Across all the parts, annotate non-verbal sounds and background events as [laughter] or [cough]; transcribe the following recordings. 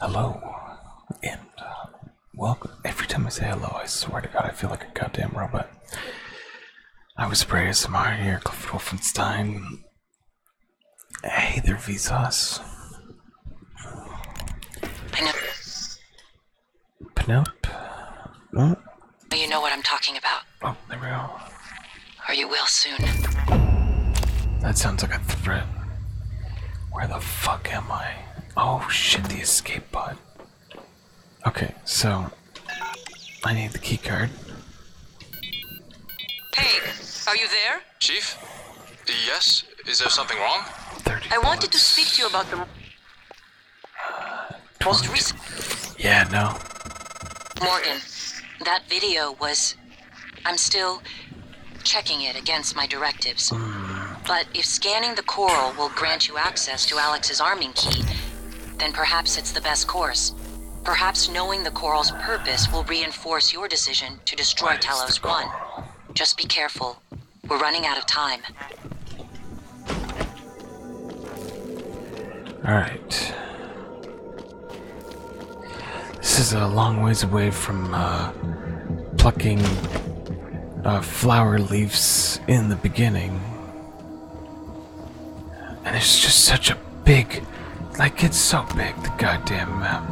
Hello, and uh, welcome. Every time I say hello, I swear to God, I feel like a goddamn robot. I was Bray Samar here, Clifford Wolfenstein. Hey there, Vsauce. Penop- Penop? Hmm? Oh, you know what I'm talking about, oh, there we go. or you will soon. That sounds like a threat. Where the fuck am I? Oh shit, the escape pod. Okay, so I need the keycard. Hey, are you there? Chief? Yes? Is there something wrong? I wanted to speak to you about the most uh, recent. Yeah, no. Morgan, that video was I'm still checking it against my directives. Hmm. But if scanning the coral will grant you access to Alex's arming key, then perhaps it's the best course. Perhaps knowing the coral's purpose will reinforce your decision to destroy Talos 1. Just be careful. We're running out of time. Alright. This is a long ways away from uh, plucking uh, flower leaves in the beginning. And it's just such a big, like, it's so big, the goddamn map.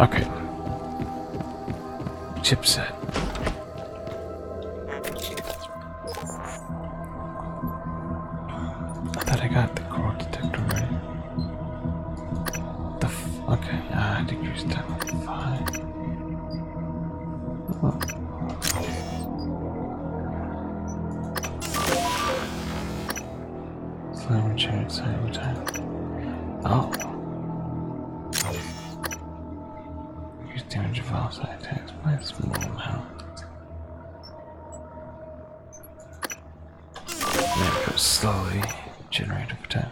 Okay. Chipset. I thought I got the coral detector right. The f okay, nah, uh, I decreased time by five. Oh. Slam chair side time. Oh. Increase damage of outside attacks by a small amount. There goes slowly. Generator time.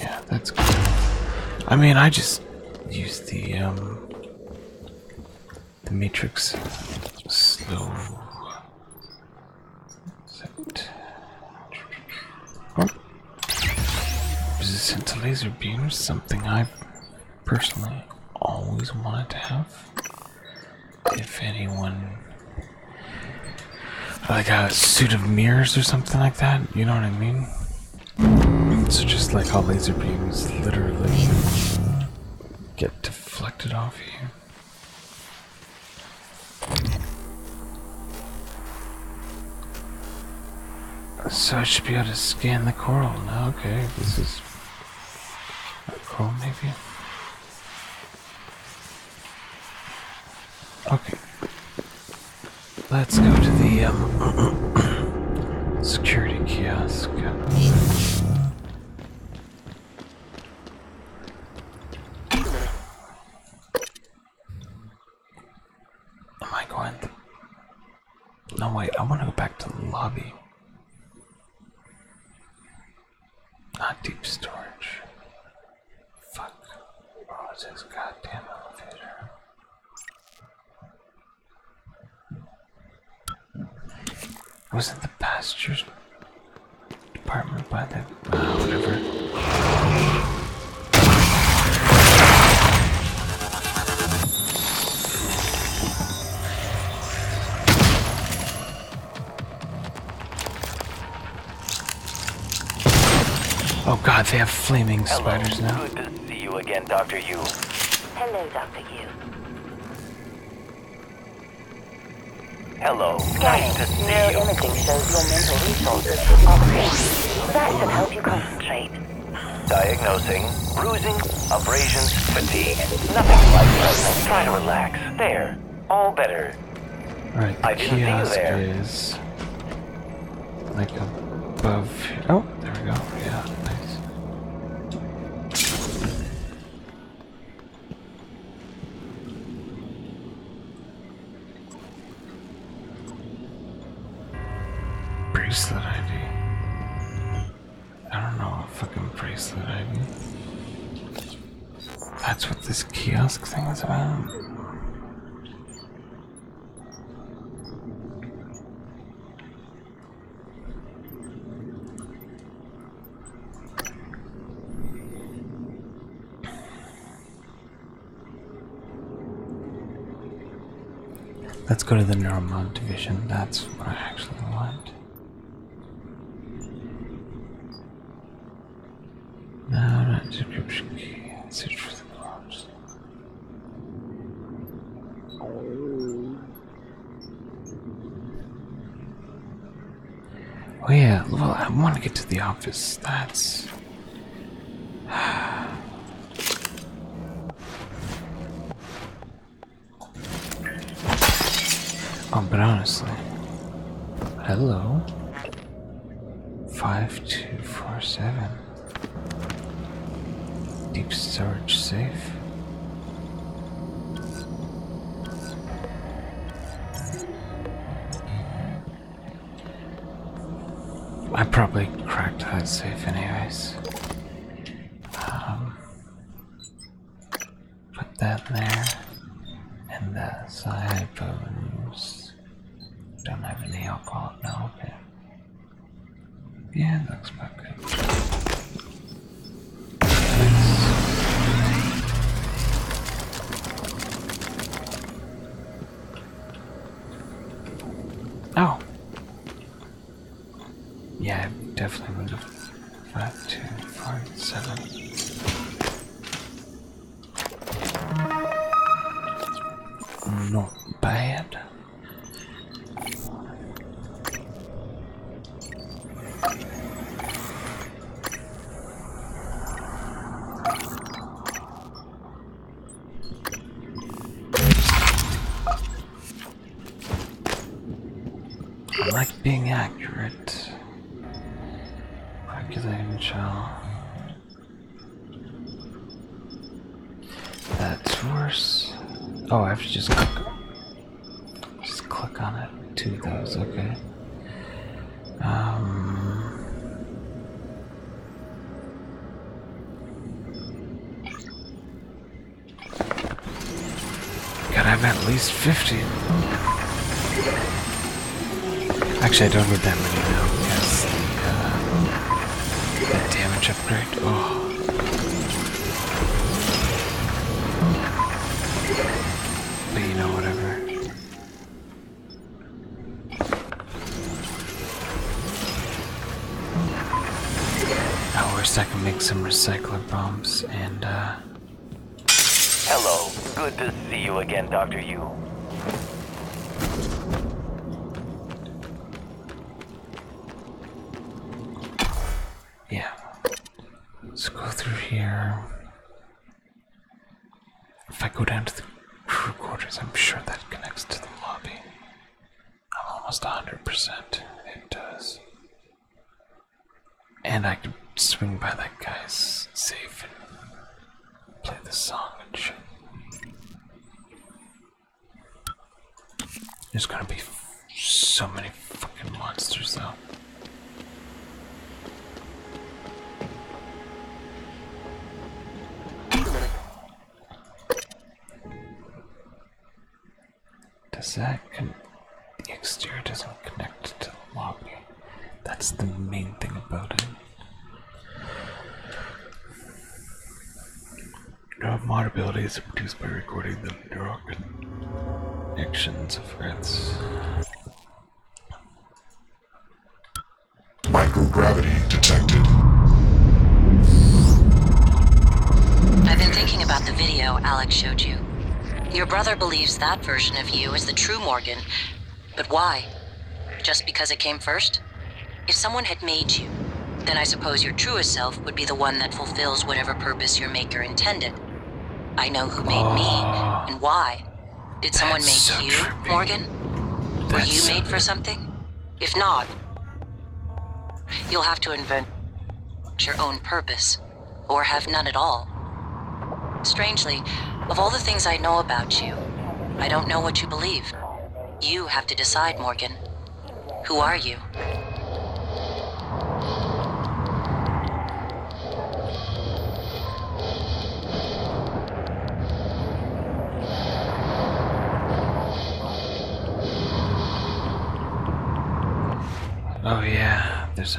Yeah, that's good. I mean, I just use the um, the matrix slow. Set. Oh. Resistant to laser beam, something I've personally always wanted to have. If anyone like a suit of mirrors or something like that, you know what I mean? So just like how laser beams literally uh, get deflected off you. So I should be able to scan the coral Okay, this is Back maybe? Okay. Let's go to the um, [clears throat] security kiosk. Am I going? No, way! I want to go back to the lobby. Not deep storage. Fuck. Oh, it's this goddamn elevator. Wasn't the pastures department by that? Uh, whatever? Oh god, they have flaming spiders now. Good to see you again, Dr. Yu. Hello, Dr. Yu. Hello. Nice to see Neural you. imaging shows your mental resources are That should help you concentrate. Diagnosing bruising Abrasions, fatigue, nothing like this. Try to relax. There. All better. Alright, the I kiosk is like above here. Oh, there we go. Yeah, nice. Bracelet ID. I don't know a fucking bracelet item. That's what this kiosk thing is about. Let's go to the Neuromod division. That's what I actually want. Now description key and search the clubs. Oh yeah, well I want to get to the office. That's um, but honestly, hello. Five two four seven. Deep storage safe. I probably cracked that safe anyways. Um, Put that there. And that side bones. Don't have any alcohol now, okay. Yeah, it looks about good. Oh! Yeah, definitely would have. Five, two, four, seven. Not bad. I like being accurate. Calculating child. That's worse. Oh, I have to just click. Just click on it. Two of okay. Um. Gotta have at least 50. Actually, I don't need that many now. Yes, uh, damage upgrade. Oh. But you know, whatever. I wish I could make some recycler bombs and, uh, Hello. Good to see you again, Dr. Yu. Yeah. Let's go through here. If I go down to the crew quarters, I'm sure that connects to the lobby. I'm almost 100% it does. And I could swing by that guy's safe and play the song and shit. There's gonna be so many fucking monsters though. Does that con- the exterior doesn't connect to the lobby? That's the main thing about it. No mod abilities are produced by recording the neural connections of rats. Microgravity detected. I've been thinking about the video Alex showed you. Your brother believes that version of you is the true Morgan. But why? Just because it came first? If someone had made you, then I suppose your truest self would be the one that fulfills whatever purpose your maker intended. I know who made me ah. and why. Did someone make you, Morgan? Were you made for something? If not, you'll have to invent your own purpose or have none at all. Strangely, of all the things I know about you, I don't know what you believe. You have to decide, Morgan. Who are you? Oh,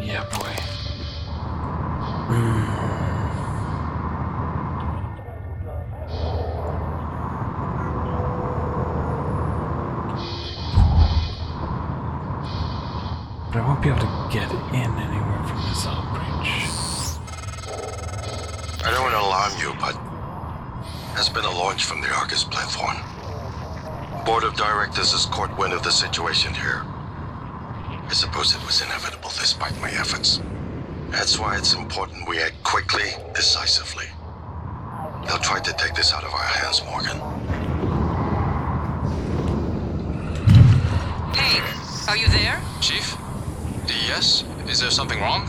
Yeah, boy. Hmm. But I won't be able to get in anywhere from this bridge. I don't want to alarm you, but there's been a launch from the Argus platform. Board of Directors has caught wind of the situation here. I suppose it was inevitable despite my efforts. That's why it's important we act quickly, decisively. They'll try to take this out of our hands, Morgan. Hey, are you there? Chief? Yes? Is there something wrong?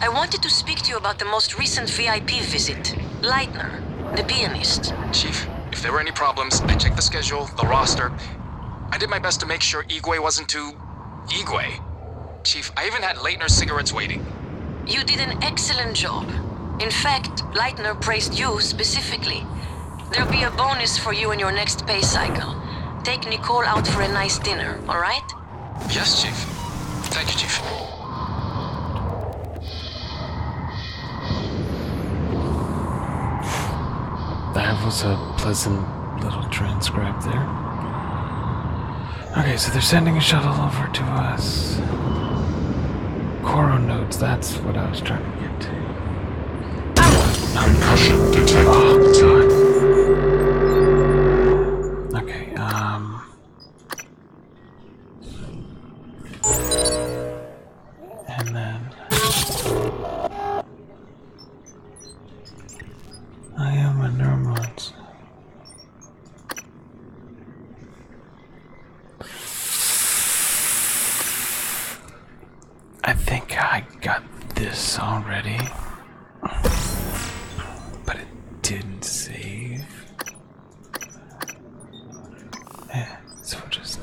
I wanted to speak to you about the most recent VIP visit. Leitner, the pianist. Chief, if there were any problems, I checked the schedule, the roster. I did my best to make sure Igwe wasn't too... Igwe. Chief, I even had Leitner cigarettes waiting. You did an excellent job. In fact, Leitner praised you specifically. There'll be a bonus for you in your next pay cycle. Take Nicole out for a nice dinner, alright? Yes, Chief. Thank you, Chief. That was a pleasant little transcribe there. Okay, so they're sending a shuttle over to us. Coro notes. that's what I was trying to get to. Concussion detector. Oh, okay, um. And then um, I am a neuromancer. I think I got this already, but it didn't save. Eh. So just.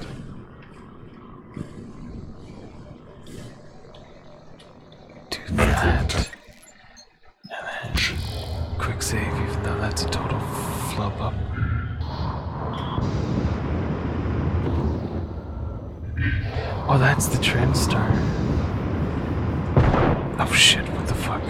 Do that. And then quick save, even though that's a total flop up. Oh, that's the trend star. Oh shit, what the fuck?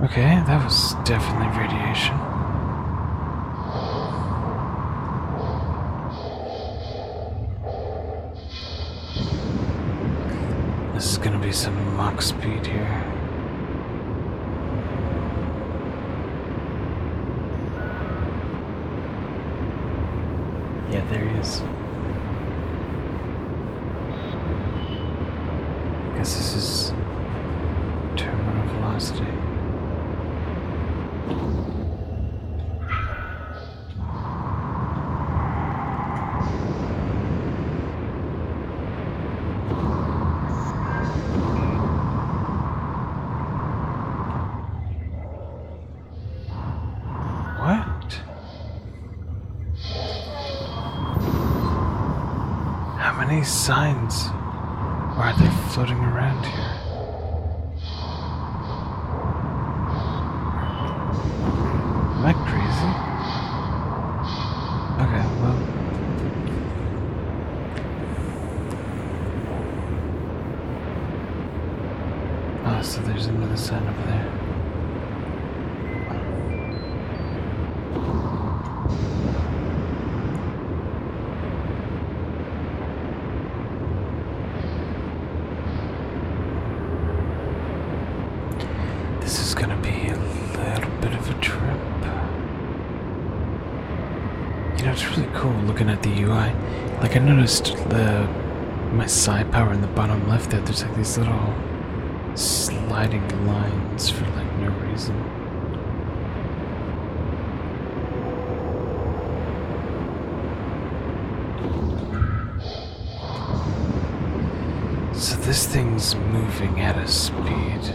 Okay, that was definitely radiation. This is gonna be some mock speed here. Yeah, there he is. I guess this is terminal velocity. What? How many signs are they floating around here? Am I crazy? Okay, well. Ah, so there's another sign over there. This is going to be a little bit of a trip. You know, it's really cool looking at the UI. Like, I noticed the my psi power in the bottom left there, there's like these little sliding lines for like no reason. So this thing's moving at a speed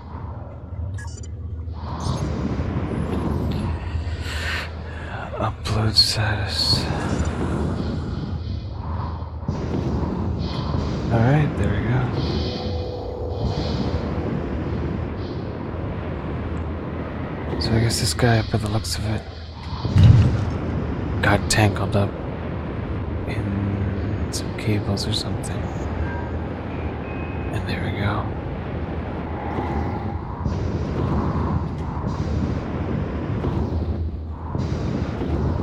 Upload status. Alright, there we go. So I guess this guy, by the looks of it, got tangled up in some cables or something. And there we go.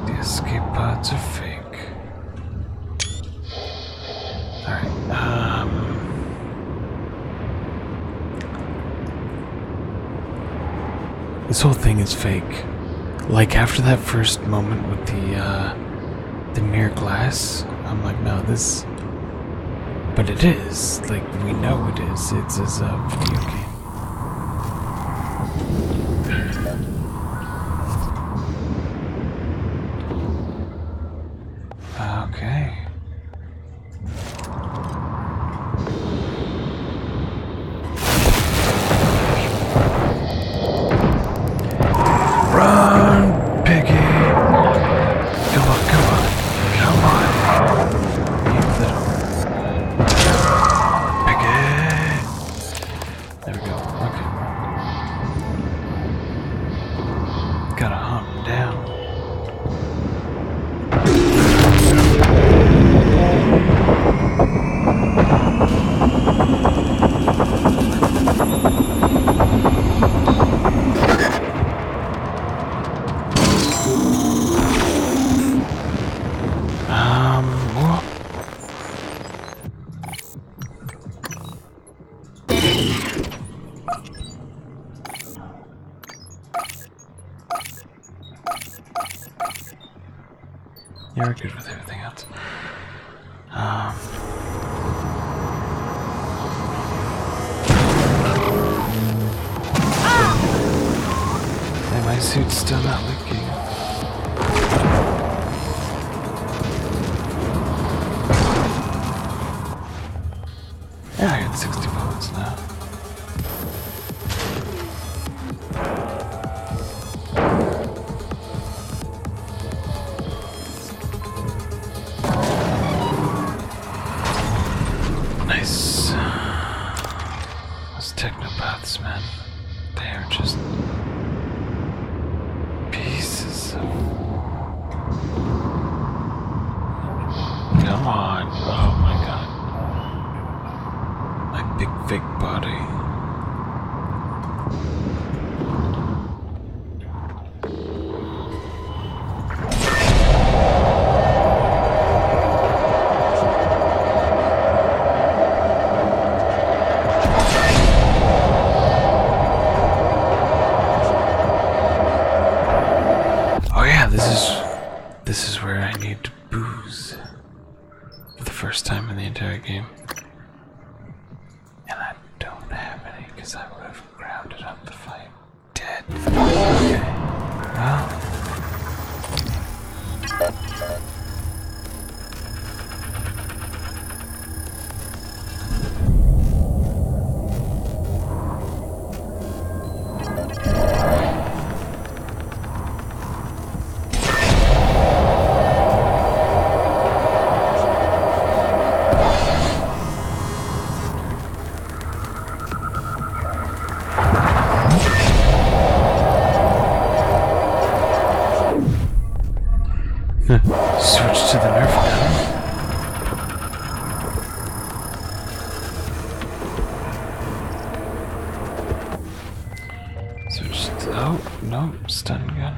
The escape pods are fake. Alright, um. This whole thing is fake. Like after that first moment with the, uh the mirror glass. I'm like, no, this. But it is. Like, we know it is. It's as a video game. Okay. Run, piggy. Come on, come on, come on. piggy. There we go. Okay. Gotta hunt down. You're good with everything else. Ah. and my suit's still not leaking. Yeah, I got 60 bullets now. Nice. Those techno paths, man. They are just pieces of. Come on. Oh my god. My big, big body. Oh yeah, this is this is where I need to booze for the first time in the entire game. And I don't have any because I I'm have up the fight. Dead. Well. Switch to the Nerf gun. Switch to, oh, no, stun gun.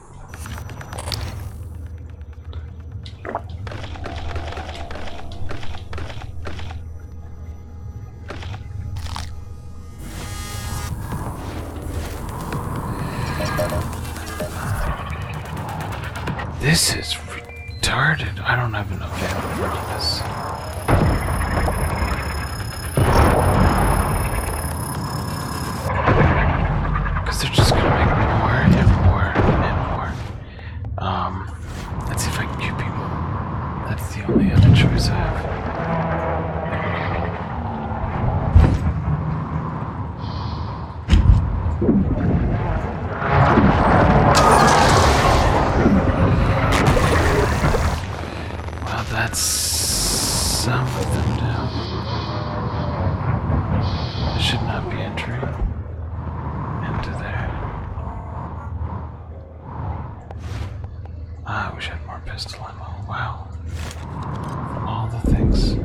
This is retarded. I don't have enough ammo for this. Because they're just gonna make more and more and more. Um, let's see if I can kill people. That's the only other choice I have. Well, that's something. of them it should not be entering into there. Ah, I wish I had more pistol ammo. Wow. For all the things.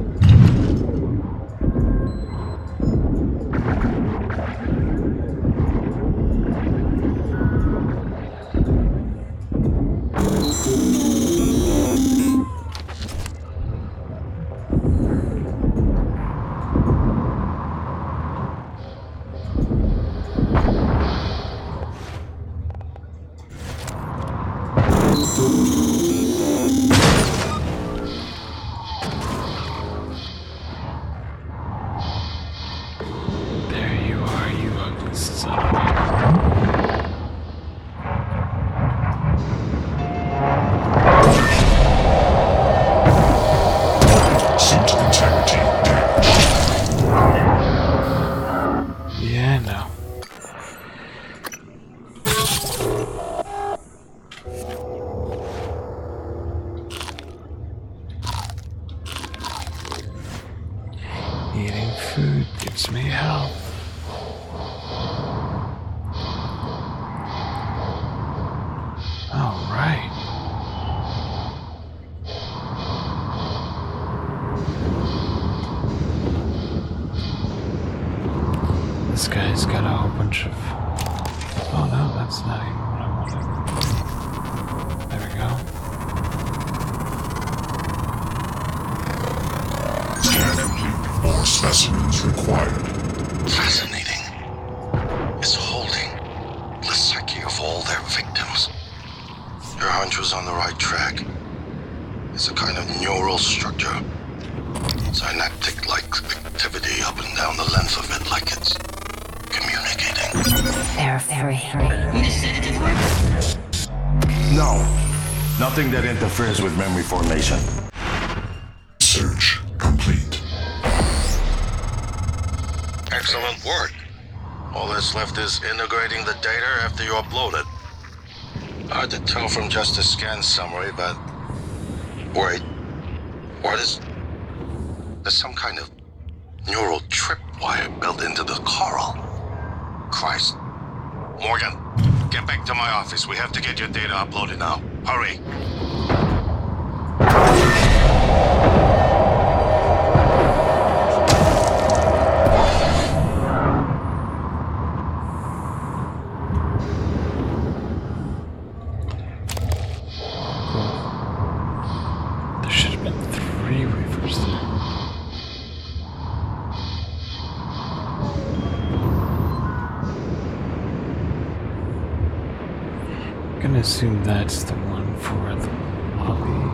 There you are, you ugly son yeah, no. Eating food gives me health. This guy's got a whole bunch of. Oh no, that's not There we go. Scan More specimens required. Fascinating. It's holding the psyche of all their victims. Your hunch was on the right track. It's a kind of neural structure. Synaptic like activity up and down the length of it, like it's communicating. Fair, very. fair. No. Nothing that interferes with memory formation. Search complete. Excellent work. All that's left is integrating the data after you upload it. Hard to tell from just the scan summary, but. Wait. What is. There's some kind of neural tripwire built into the coral. Christ. Morgan, get back to my office. We have to get your data uploaded now. Hurry. There should have been three reefers there. I'm gonna assume that's the one for the lobby.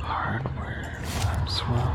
Hardware as well.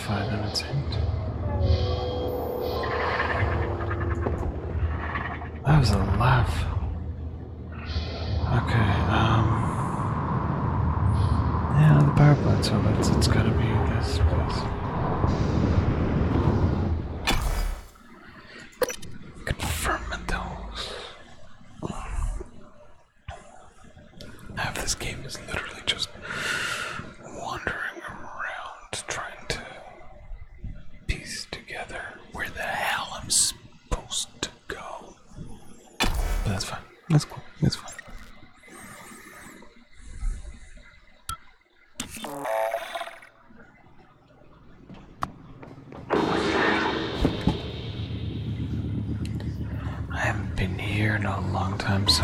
justify their intent. That was a laugh. Okay, um. Yeah, the power plants. so that's, it's gotta be this place. Confirm Confirmados. Half this game is literally just wandering around trying to piece together where the hell I'm supposed to go. But that's fine. That's cool. That's fine. I haven't been here in a long time, so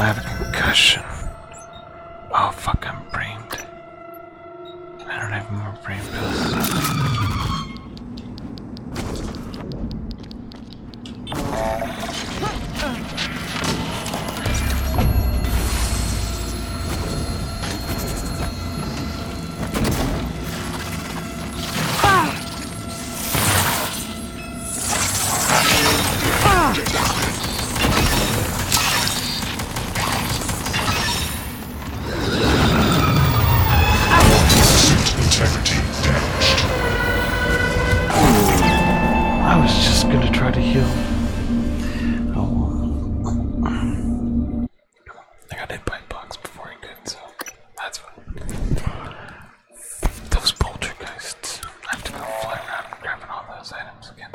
I have a concussion. Oh fuck, I'm brain dead. I don't have more brain pills. I was just gonna try to heal. Oh. I got hit by bugs before I could, so that's fun. Those poltergeists. I have to go fly around grabbing all those items again.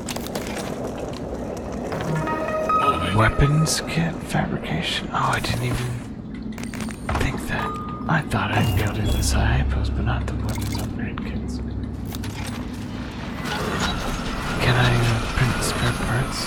Weapons kit fabrication. Oh, I didn't even think that. I thought I'd be able to do the but not the weapons upgrade kits. Can I print spare parts?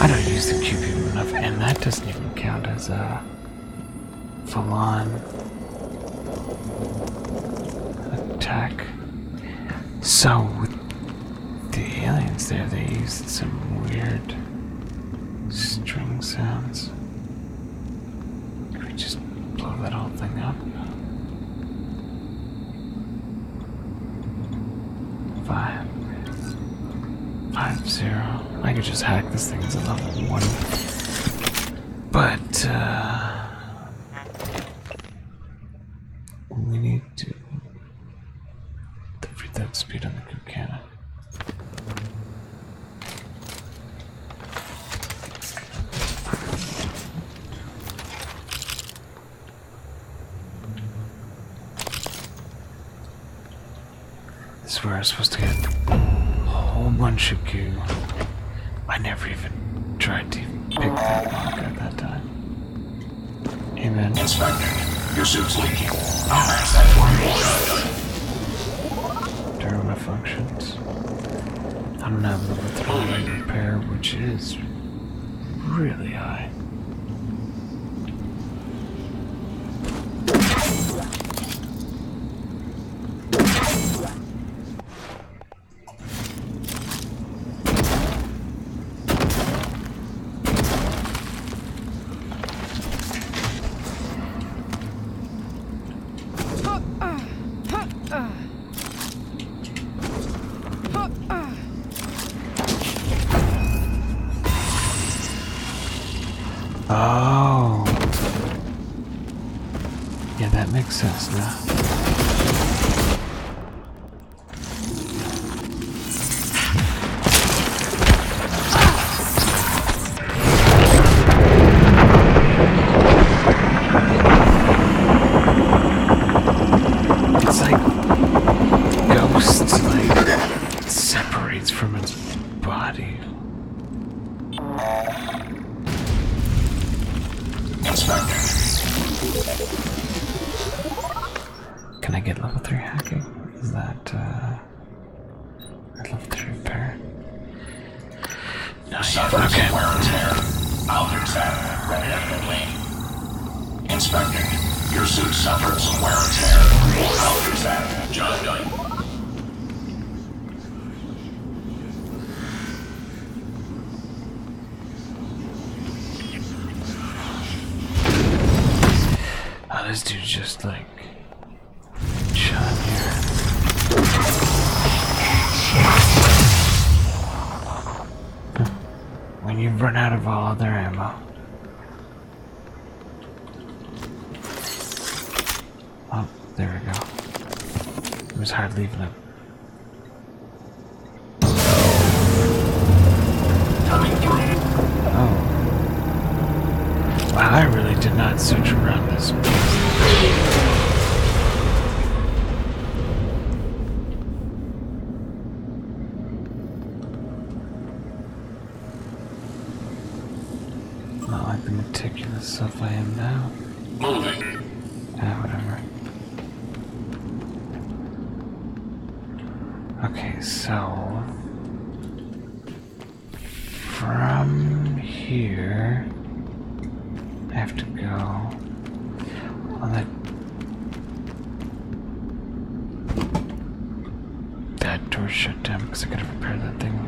I don't use the GPU enough, and that doesn't even count as uh, a full attack. So the aliens there, they used some weird string sounds. Could we just blow that whole thing up? Five. I could just hack this thing as a level one. But, uh, We need to. Put that speed on the group this is where I am supposed to get a whole bunch of goo. I never even tried to pick that lock at that time. Amen. Inspector, your suit's leaking. Oh. I'll pass that more. functions. I don't have the withdrawal repair, which is really high. Oh. Yeah, that makes sense now. It's like ghosts like separates from its body. Can I get level 3 hacking? Is that, uh, I would love Trooper. Nice. Suffered okay. some wear and tear. I'll do that repetitively. Inspector, your suit suffered some wear and tear. I'll do that. Job done. Oh, this dude's just like John When you've run out of all other ammo. Oh, there we go. It was hard leaving him. Oh. Wow, I really did not search around this place. Not like the meticulous stuff I am now. Ah, whatever. Okay, so from here, I have to go on that. That door shut down because I gotta repair that thing.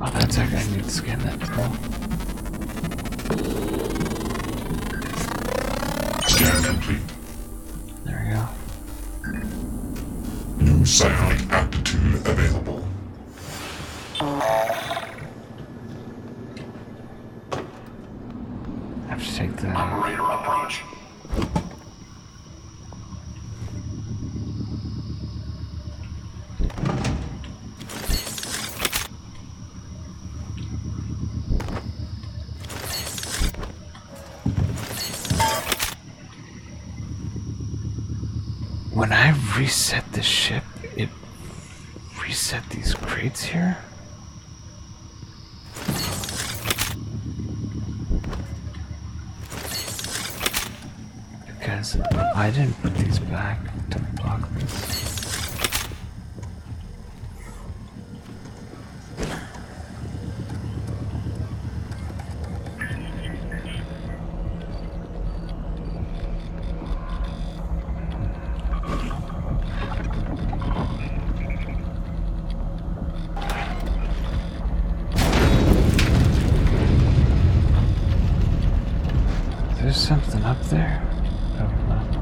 Oh, that's actually, I need to scan that through. Scan complete. There we go. New psionic aptitude available. I have to take the operator approach. When I reset the ship, it reset these crates here? Because I didn't put these back to block this. There's something up there. Come on, man.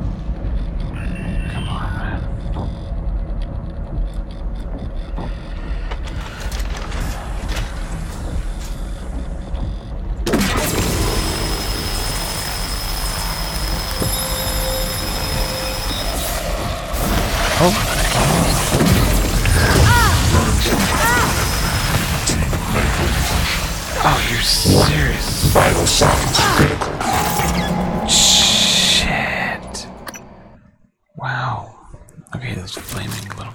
Oh, oh, Shit. Wow. Okay, those flaming little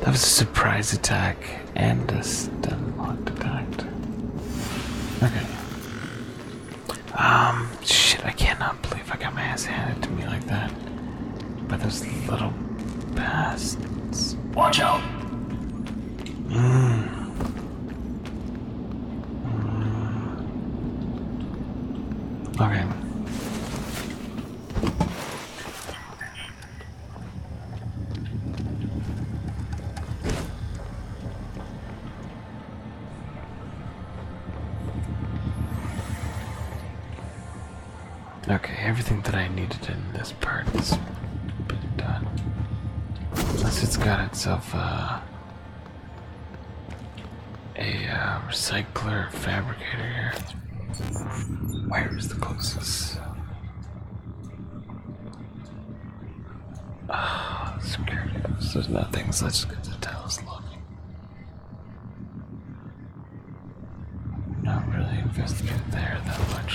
That was a surprise attack and a stun lock attack. Okay. Um, shit, I cannot believe I got my ass handed to me like that. By those little bastards. Watch out! Mmm. Mm. Okay. Okay, everything that I needed in this part is done. Unless it's got itself uh, a uh, recycler fabricator here. Where is the closest? Oh, security. There's nothing, so let's just get the towels loading. Not really invested there that much.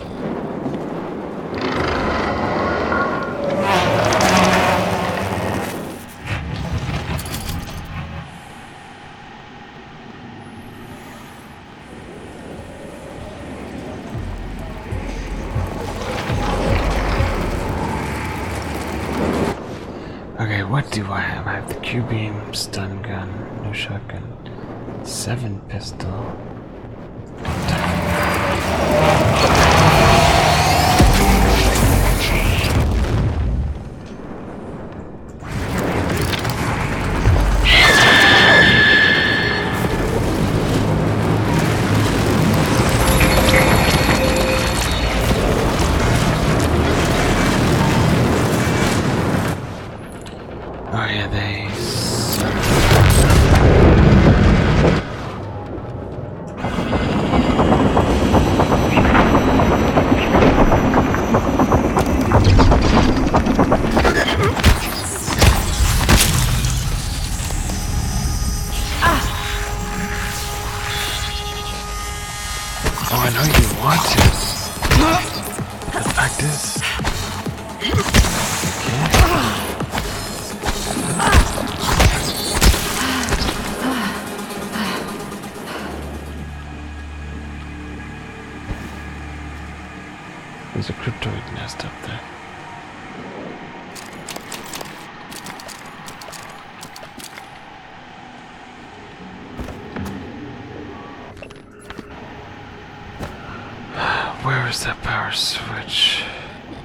Okay, what do I have? I have the Q-beam, stun gun, no shotgun, seven pistol. Oh yeah, they? Oh, I know you want to. The fact is, there's a cryptoid nest up there. Where is that power switch?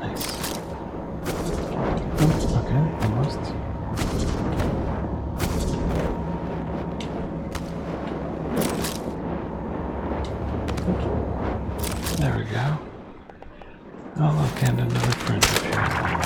Nice. okay, almost. There we go. Oh look, and another friend appeared.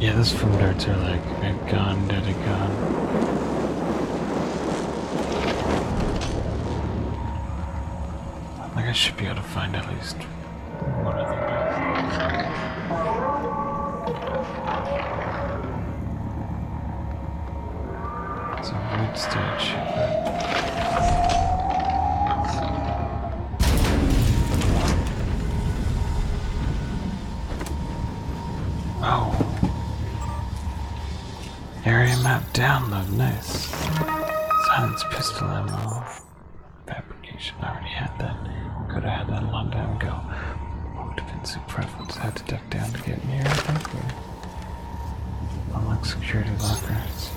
Yeah, those foam darts are like a gun, dead a gun. I think I should be able to find at least one of them. It's a good stage. Oh. Area map download, nice. Silence pistol ammo. Fabrication already have. Could have had that a long time ago. What would have been suit preference? I had to duck down to get near, I think. Or unlock security lockers.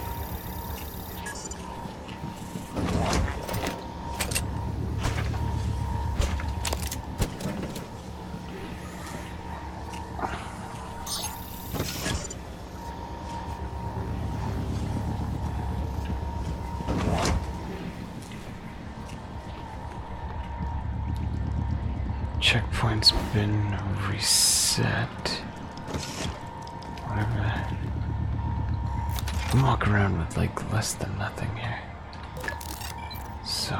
Checkpoint's been reset. I'm walk around with like less than nothing here. So.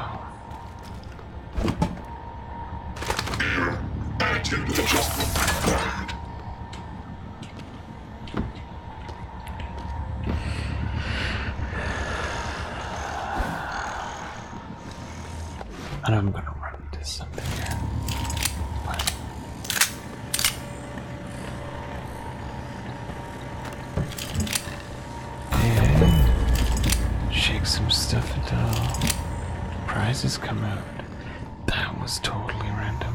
And I'm gonna run into something here. But... And shake some stuff until prizes come out. That was totally random.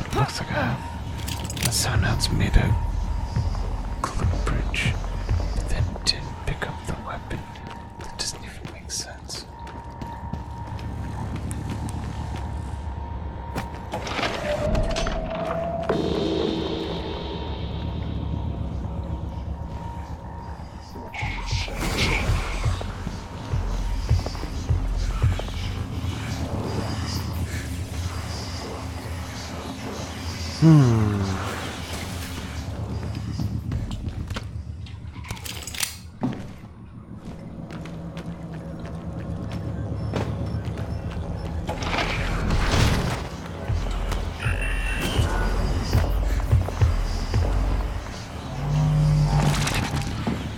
It looks like a, uh, a out's made a glue bridge, then didn't pick up the weapon. That doesn't even make sense. Hmm.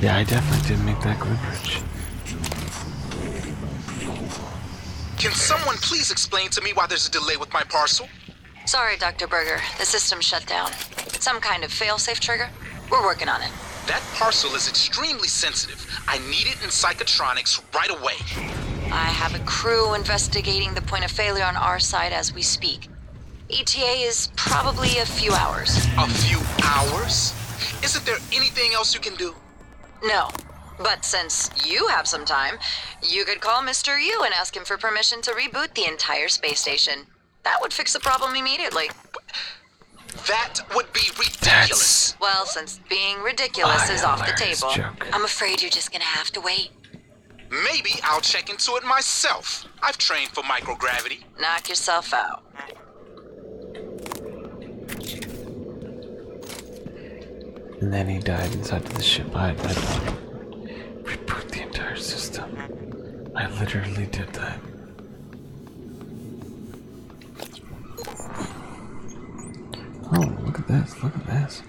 Yeah, I definitely did make that good bridge. Can someone please explain to me why there's a delay with my parcel? Sorry, Dr. Berger. The system shut down. Some kind of failsafe trigger? We're working on it. That parcel is extremely sensitive. I need it in psychotronics right away. I have a crew investigating the point of failure on our side as we speak. ETA is probably a few hours. A few hours? Isn't there anything else you can do? No. But since you have some time, you could call Mr. Yu and ask him for permission to reboot the entire space station. That would fix the problem immediately. That would be ridiculous. Well, since being ridiculous is off the table, I'm afraid you're just gonna have to wait. Maybe I'll check into it myself. I've trained for microgravity. Knock yourself out. And then he died inside of the ship. I, I reboot the entire system. I literally did that. Oh, look at this, look at this.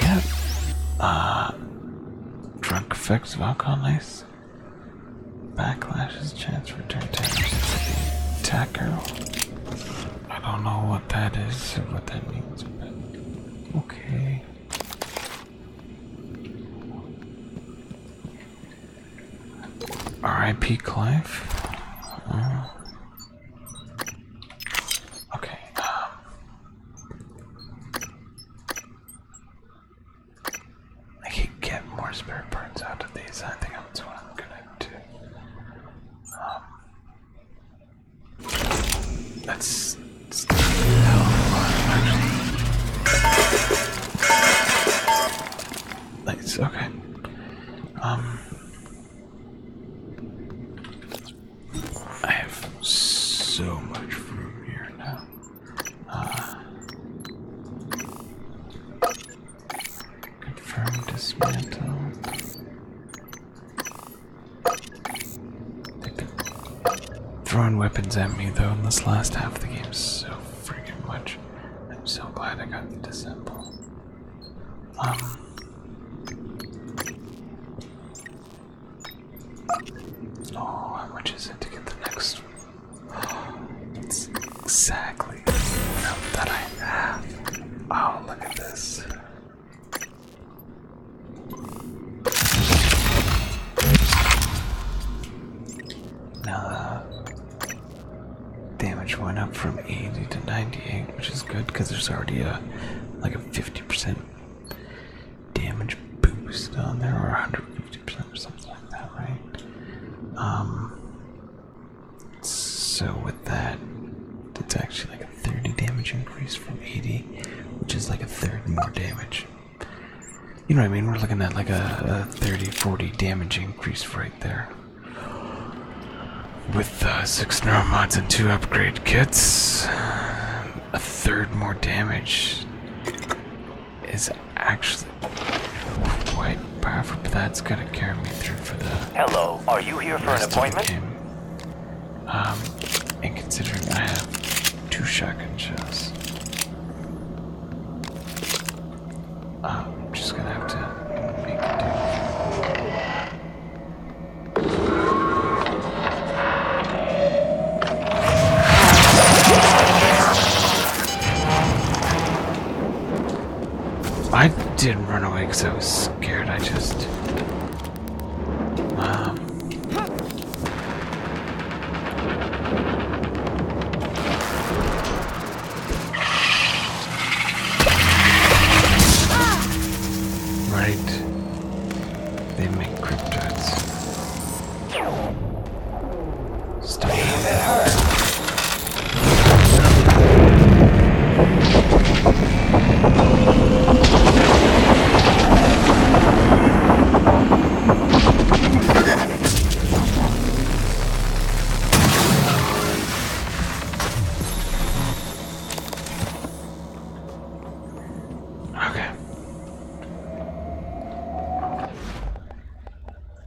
Yep. Uh, drunk effects of alcohol ice. Backlash's chance for turn damage. Tacker. I don't know what that is or what that means, but okay. R.I.P. Clive. Uh, okay. Um. I can get more spirit parts out of these. I think that's what I'm gonna do. Um, that's still actually. that's Okay. Um, I have so much room here now. Uh, Confirm dismantle. they throwing weapons at me though in this last half of the game so freaking much. I'm so glad I got the dissemble. Um Oh, how much is it to get the next it's exactly that I have. Oh, look at this. Nah. Damage went up from 80 to 98, which is good because there's already a like a 50% damage boost on there, or 150% or something like that, right? Um, so with that, it's actually like a 30 damage increase from 80, which is like a third more damage. You know what I mean? We're looking at like a, 30, 40 damage increase right there. With uh, six six mods and two upgrade kits, a third more damage is actually quite powerful, but that's gonna carry me through for the. Hello, are you here for an appointment? Um, and considering I have two shotgun shells, I'm um, just gonna have to make it do. I didn't run away because I was scared. I just. Um, right. They make cryptids. Stay there. Okay.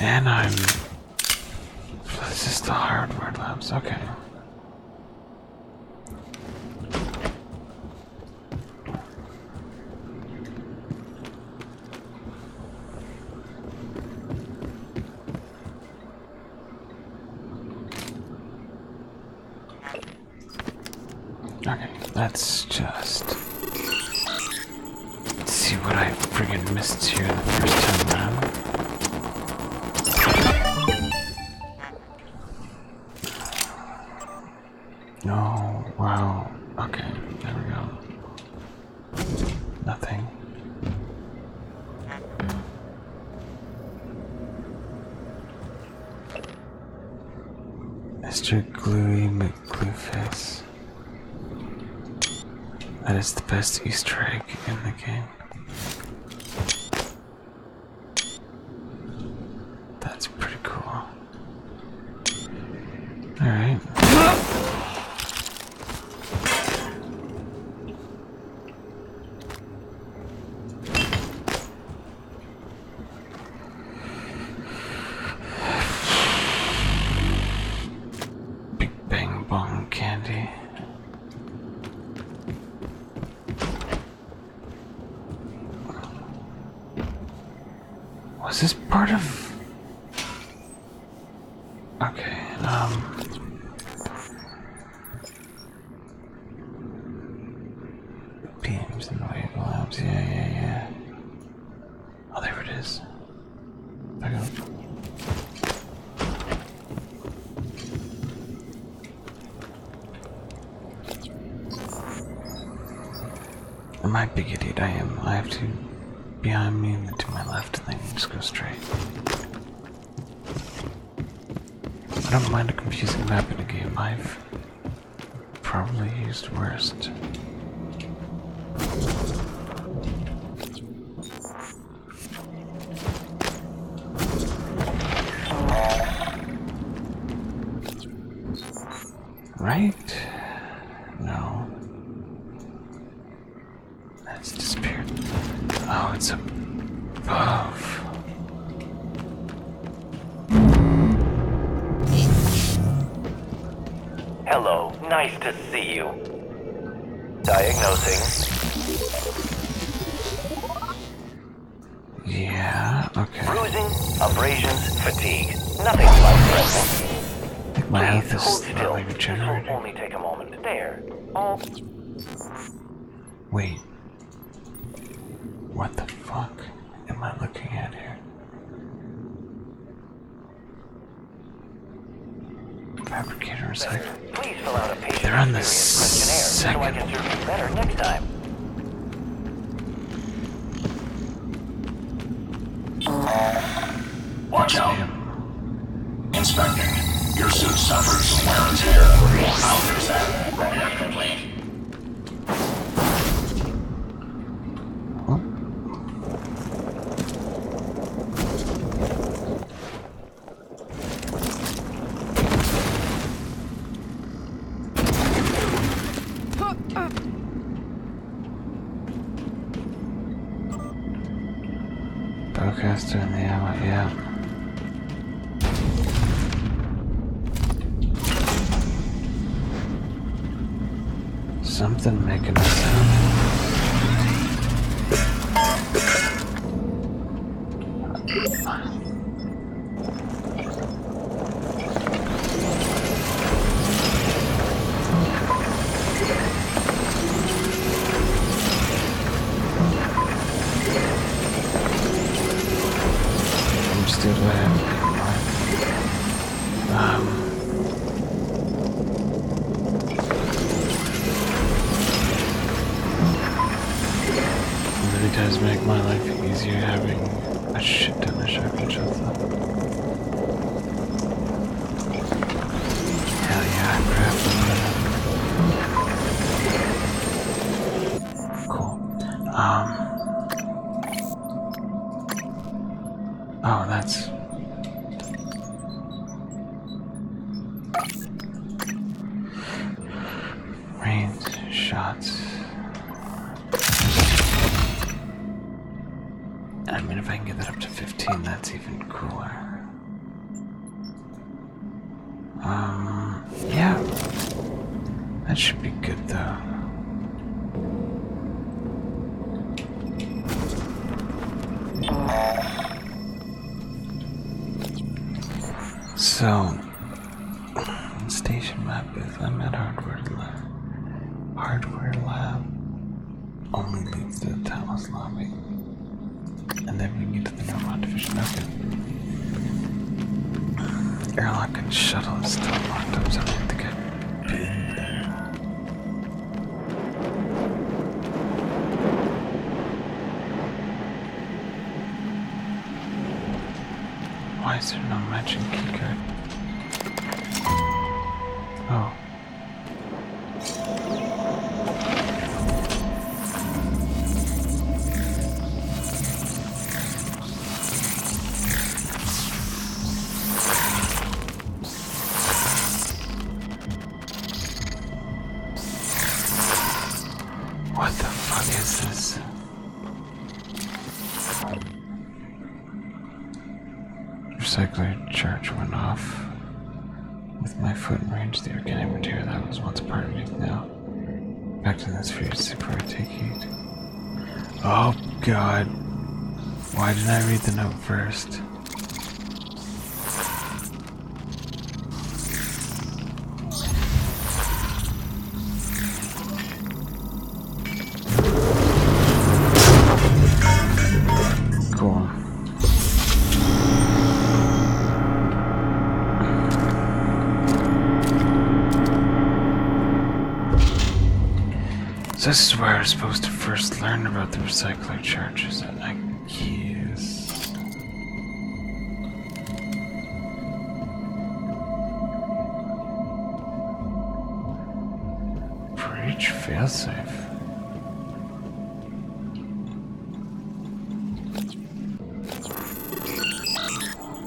And I'm this is the hardware labs, okay. Okay, let's just Let's see what I friggin' missed here the first time around. No, wow. Okay, there we go. Nothing. Mr. Gluey McGlueface. That is the best Easter egg in the game. That's pretty cool. Alright. Big Bang Bong candy. Was this part of... Okay, um... Beams and wavelabs, yeah, yeah, yeah. Oh, there it is. I got him. Am a big idiot? I am. I have to behind me and then to my left and then just go straight. I don't mind a confusing map in a game. I've probably used worst. Right? No. That's disappeared. Oh, it's above. Hello, nice to see you. Diagnosing. Yeah, okay. Bruising, abrasions, fatigue. Nothing like this. I think my still in general. only take a moment. There. Oh. Wait. What the fuck am I looking at here? Fabricator recycling. Please fill out a patient They're on the second. So I can serve better next time. Watch out. Him. Inspecting. Your suit suffers from wear and tear. i that. Repair complete. Broadcaster in the hour, yeah. something making a sound understood what happened. Um, it does make my life easier having a shit ton of sharp shots. Um. Oh, that's. Range shots. I mean, if I can get that up to 15, that's even cooler. Um, yeah. That should be good, though. So, station map is I'm at hardware lab. Hardware lab only leads to the Talos lobby. And then we get to the Neuromod lab. Okay. Airlock and shuttle is still locked up, so I have to get in. there. Why is there no matching keycard? Oh. What the fuck is this? Recycler charge went off. With my foot in range, the organic material that was once part of me now. Back to this fear sick I take heat. Oh god. Why did not I read the note first? This is where I was supposed to first learn about the recycling charges, and I Yes. Breach fail safe.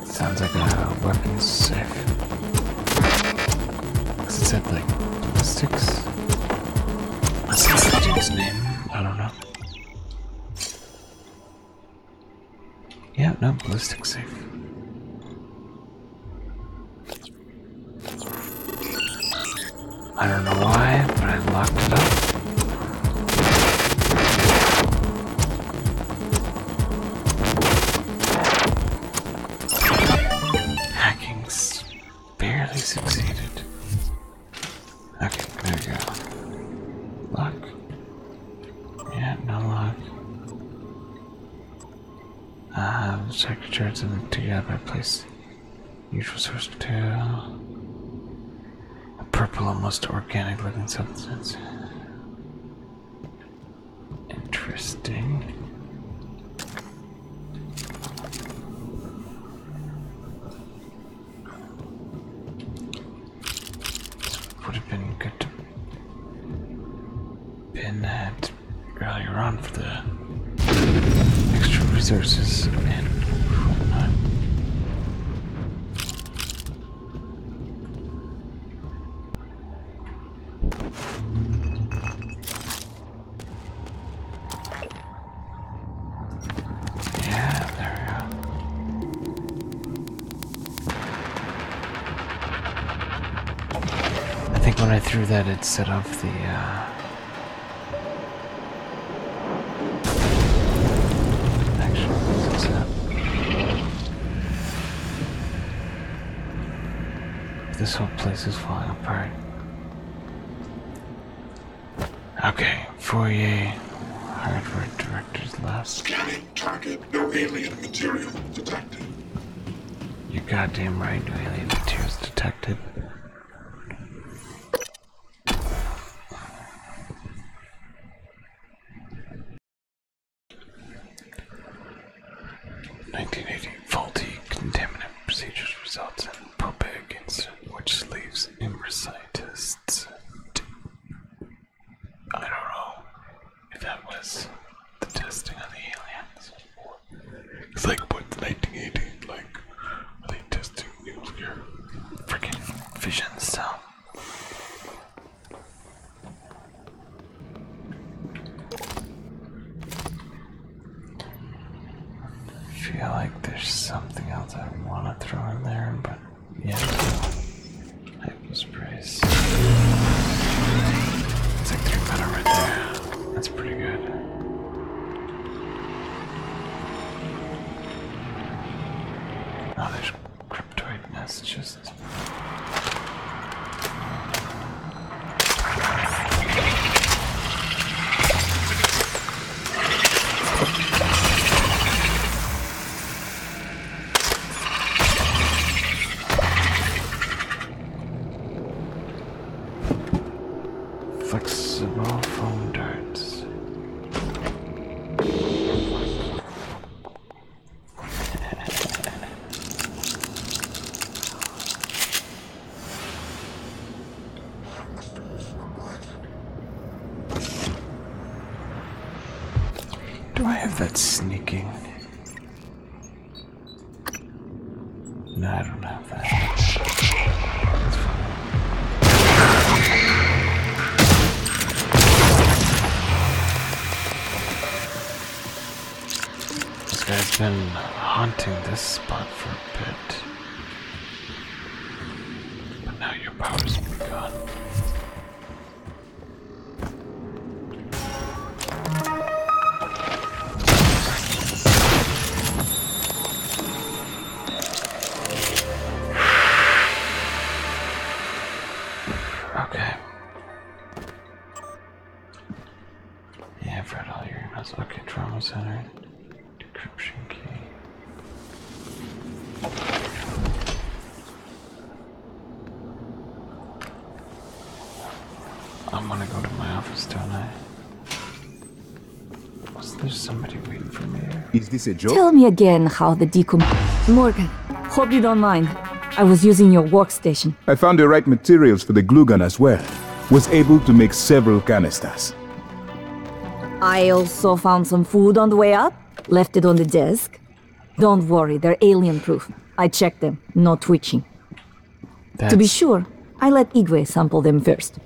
Sounds like a weapon safe. Cause it said like that's his name. I don't know. Yeah, no, ballistic safe. I don't know why, but I locked it up. Hacking barely succeeded. Okay, there we go. Lock. Yeah, no lock. Uh, check the turrets and My place usual source material. A purple, almost organic looking substance. Interesting. Would have been good to pin that earlier on for the extra resources and yeah, there we go. I think when I threw that, it set off the. Uh, This whole place is falling apart. Okay, Fourier, hardware director's left. Scanning target, no alien material detected. You're goddamn right, no alien material detected. Nineteen eighty faulty contaminant procedures results in probig which leaves Imracitists to. I don't know if that was the testing of the aliens. It's like, what's 1918? Like, are they testing nuclear freaking fission cell? I feel like there's something else I want to throw in there, but yeah. Hypo sprays. It's like three metal right there. That's pretty good. Oh, there's cryptoid nest Flexible phone turns. Do I have that sneaking? No, I don't have that. This guy's been haunting this spot for a bit. But now your powers will gone. Okay. Yeah, Fred, all your okay, trauma center. Decryption key. I'm gonna go to my office, don't I? Was there somebody waiting for me? Is this a joke? Tell me again how the decom. Morgan, hope you don't mind. I was using your workstation. I found the right materials for the glue gun as well. Was able to make several canisters. I also found some food on the way up, left it on the desk. Don't worry, they're alien proof. I checked them, no twitching. To be sure, I let Igwe sample them first.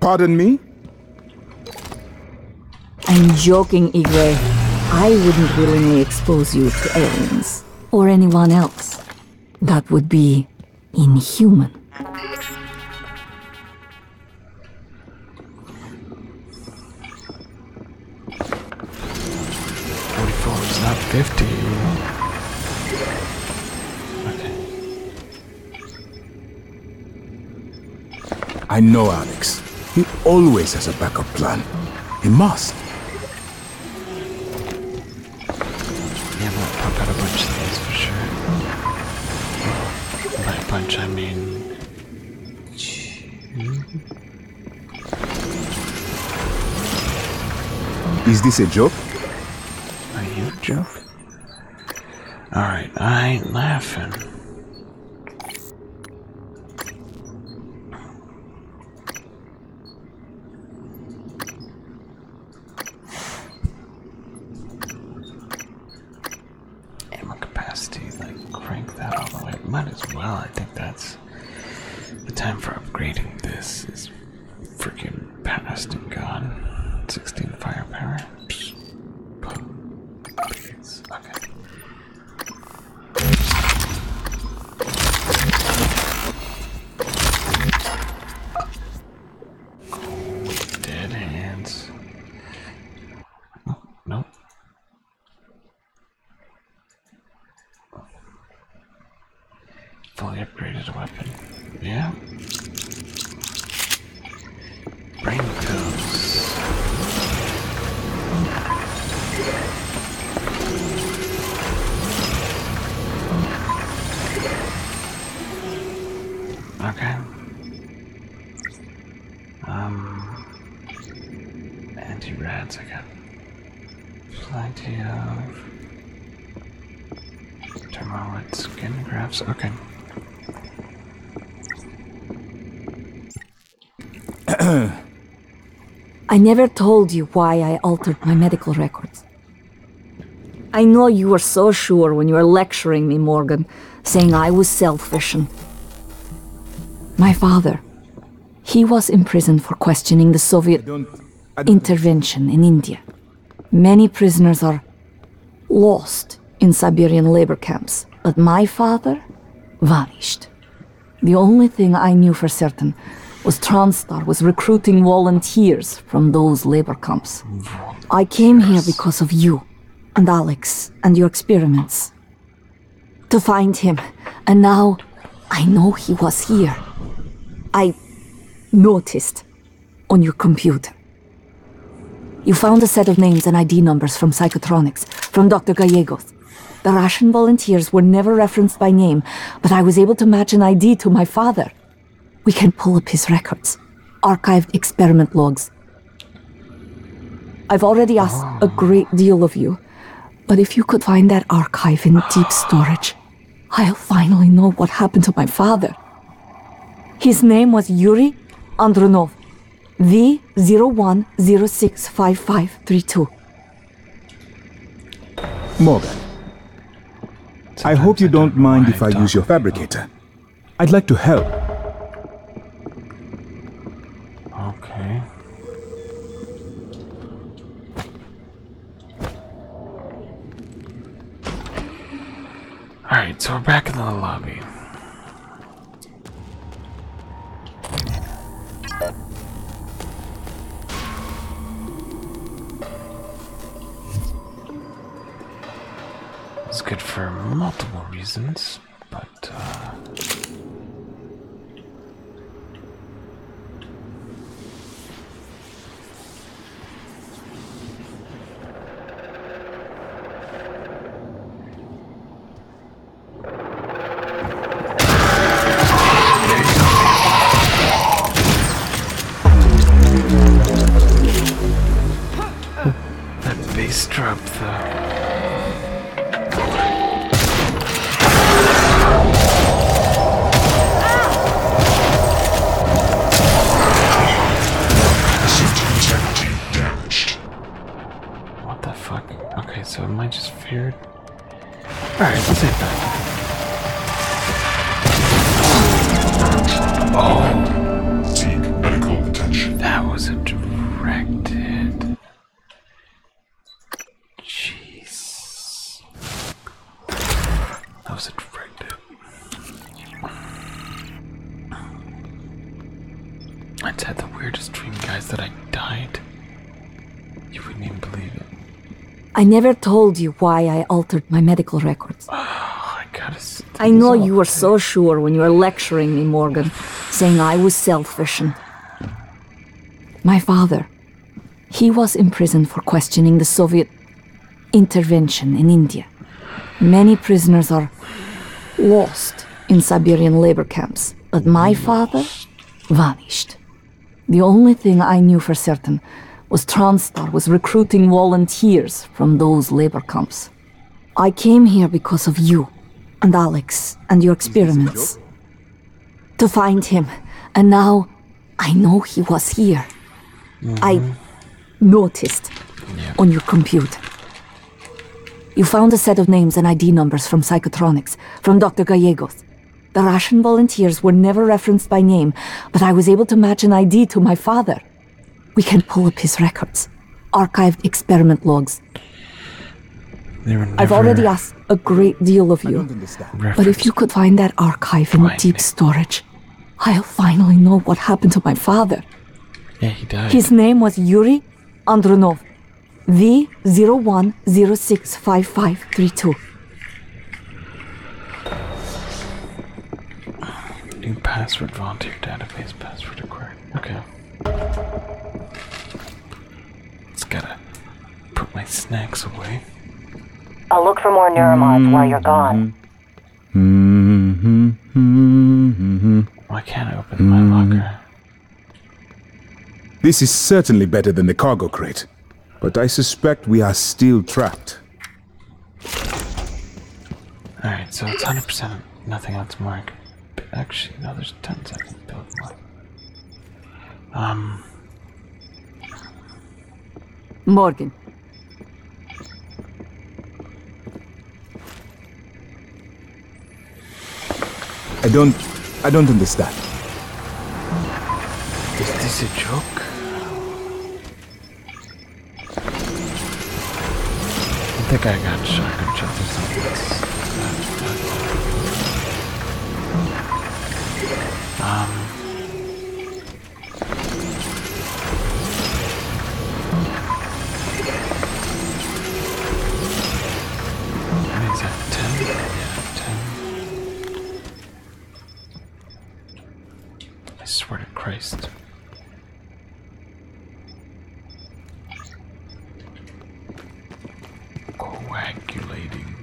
Pardon me? I'm joking, Igwe. I wouldn't willingly expose you to aliens. Or anyone else. That would be inhuman. Forty-four is not fifty. I know Alex. He always has a backup plan. He must. Yeah, gonna pump out a bunch of these for sure. By a bunch, I mean... Is this a joke? Are you a joke? Alright, I ain't laughing. Ammo capacity, like crank that all the way. Might as well. I think that's the time for upgrading this is freaking past and gone. 16 fire power. Dead hands. Oh, no. Fully upgraded weapon. Yeah. Brain pills. Okay. Um, anti-rats, I got plenty of dermoid skin grafts. Okay. [clears throat] I never told you why I altered my medical records. I know you were so sure when you were lecturing me, Morgan, saying I was selfish and. My father, he was imprisoned for questioning the Soviet intervention in India. Many prisoners are lost in Siberian labor camps, but my father vanished. The only thing I knew for certain was Transstar was recruiting volunteers from those labor camps. I came here because of you and Alex and your experiments. To find him, and now I know he was here. I noticed on your computer. You found a set of names and ID numbers from Psychotronics, from Dr. Gallegos. The Russian volunteers were never referenced by name, but I was able to match an ID to my father. We can pull up his records, archived experiment logs. I've already asked a ah. great deal of you, but if you could find that archive in deep [sighs] storage, I'll finally know what happened to my father. His name was Yuri Andronov, V01065532. Morgan, I hope you don't mind if I use your fabricator. I'd like to help. Okay. Alright, so we're back in the lobby. It's good for multiple reasons, but uh, that bass drop, though. What the fuck? Okay, so am I just feared? Alright, let's hit that. Oh. Seek medical attention. That was a directed. Jeez. That was directed. I had the weirdest dream, guys, that I died. You wouldn't even believe it. I never told you why I altered my medical record. Oh, I know you were so sure when you were lecturing me, Morgan, saying I was selfish and. My father, he was imprisoned for questioning the Soviet intervention in India. Many prisoners are lost in Siberian labor camps, but my father vanished. The only thing I knew for certain was Transstar was recruiting volunteers from those labor camps. I came here because of you and Alex and your experiments. To find him. And now I know he was here. I mm-hmm. noticed on your computer. You found a set of names and ID numbers from Psychotronics, from Dr. Gallegos. The Russian volunteers were never referenced by name, but I was able to match an ID to my father. We can pull up his records, archived experiment logs. I've already asked a great deal of you, but if you could find that archive in deep storage, I'll finally know what happened to my father. Yeah, he died. His name was Yuri Andronov, V01065532. New password, your database password required. Okay. Let's gotta put my snacks away. I'll look for more neuromods while you're gone. Mm-hmm. Mm-hmm. Why can't I open my locker? This is certainly better than the cargo crate, but I suspect we are still trapped. Alright, so it's 100% nothing on its mark. actually, no, there's tons I can build more. Um. Morgan. I don't. I don't understand. Is this a joke? I think I got shot or something. Um. What is that? Ten? Yeah, ten. I swear to Christ coagulating.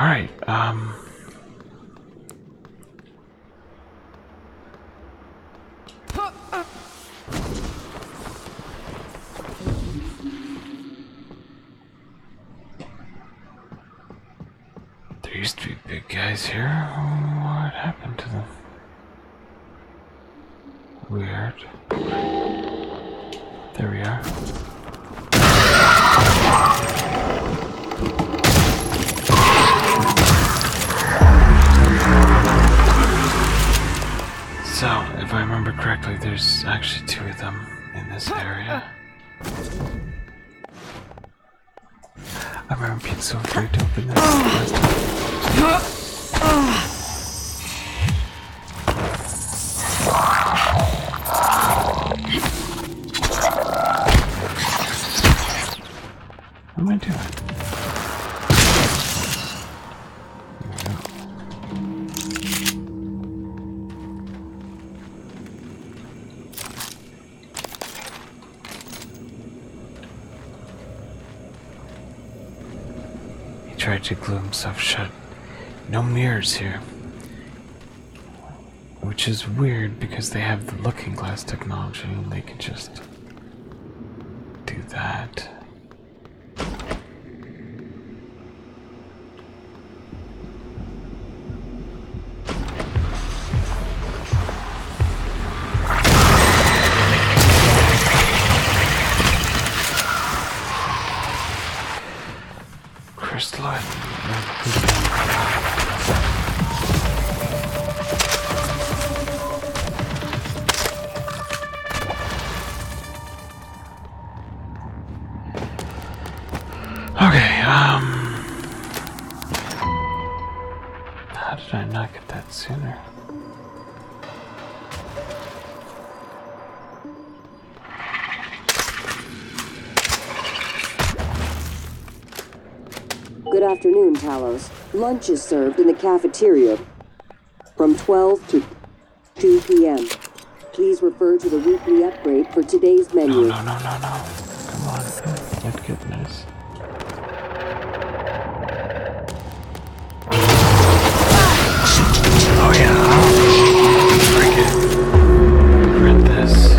All right, um, there used to be big guys here. What happened to them? Weird. There we are. So, if I remember correctly, there's actually two of them in this area. I remember being so afraid to open this last time. What am I doing? He tried to glue himself shut. No mirrors here. Which is weird because they have the looking glass technology and they could just do that crystalline. Okay, um. How did I not get that sooner? Good afternoon, Talos. Lunch is served in the cafeteria from 12 to 2 p.m. Please refer to the weekly upgrade for today's menu. No, no, no, no, Come on. Thank goodness. Oh, yeah. Break it. this.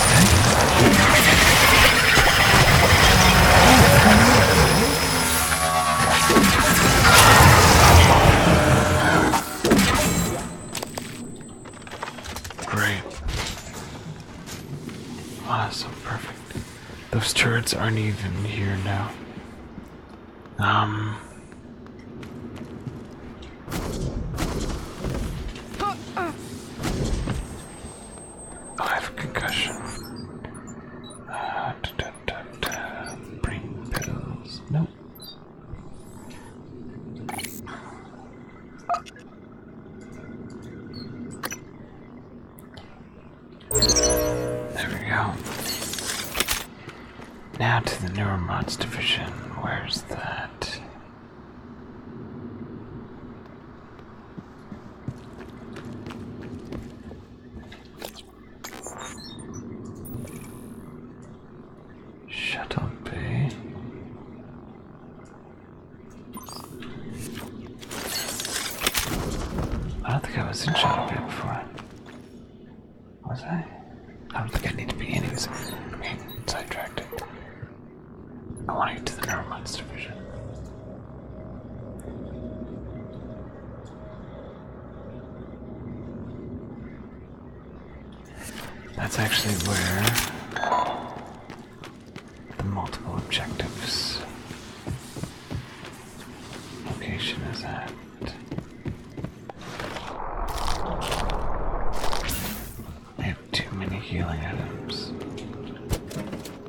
Great. Ah, so perfect. Those turrets aren't even here now. Um. I have a concussion. Ah, Brain pills. Nope. There we go. Now to the Neuromods division. Where's that? Shut up, eh? I don't think I was in Shut Up before. Was I? I don't think I need to be anyways. Okay, sidetracked. I want to get to the Neuromines division. That's actually where the multiple objectives location is at. I have too many healing items.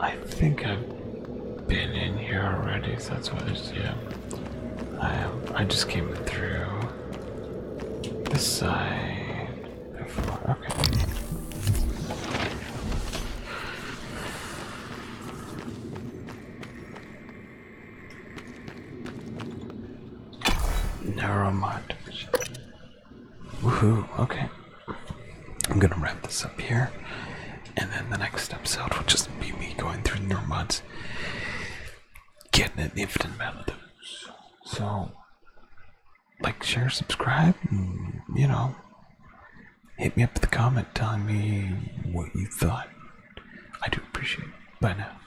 I think I've been in here already, so that's why it's yeah. I um, I just came through this side okay. Narrow mind. Woohoo, okay. I'm gonna wrap this up here. And then the next episode will just be me going through the mods, getting an infinite amount of those. So, like, share, subscribe, and, you know, hit me up with a comment telling me what you thought. I do appreciate it. Bye now.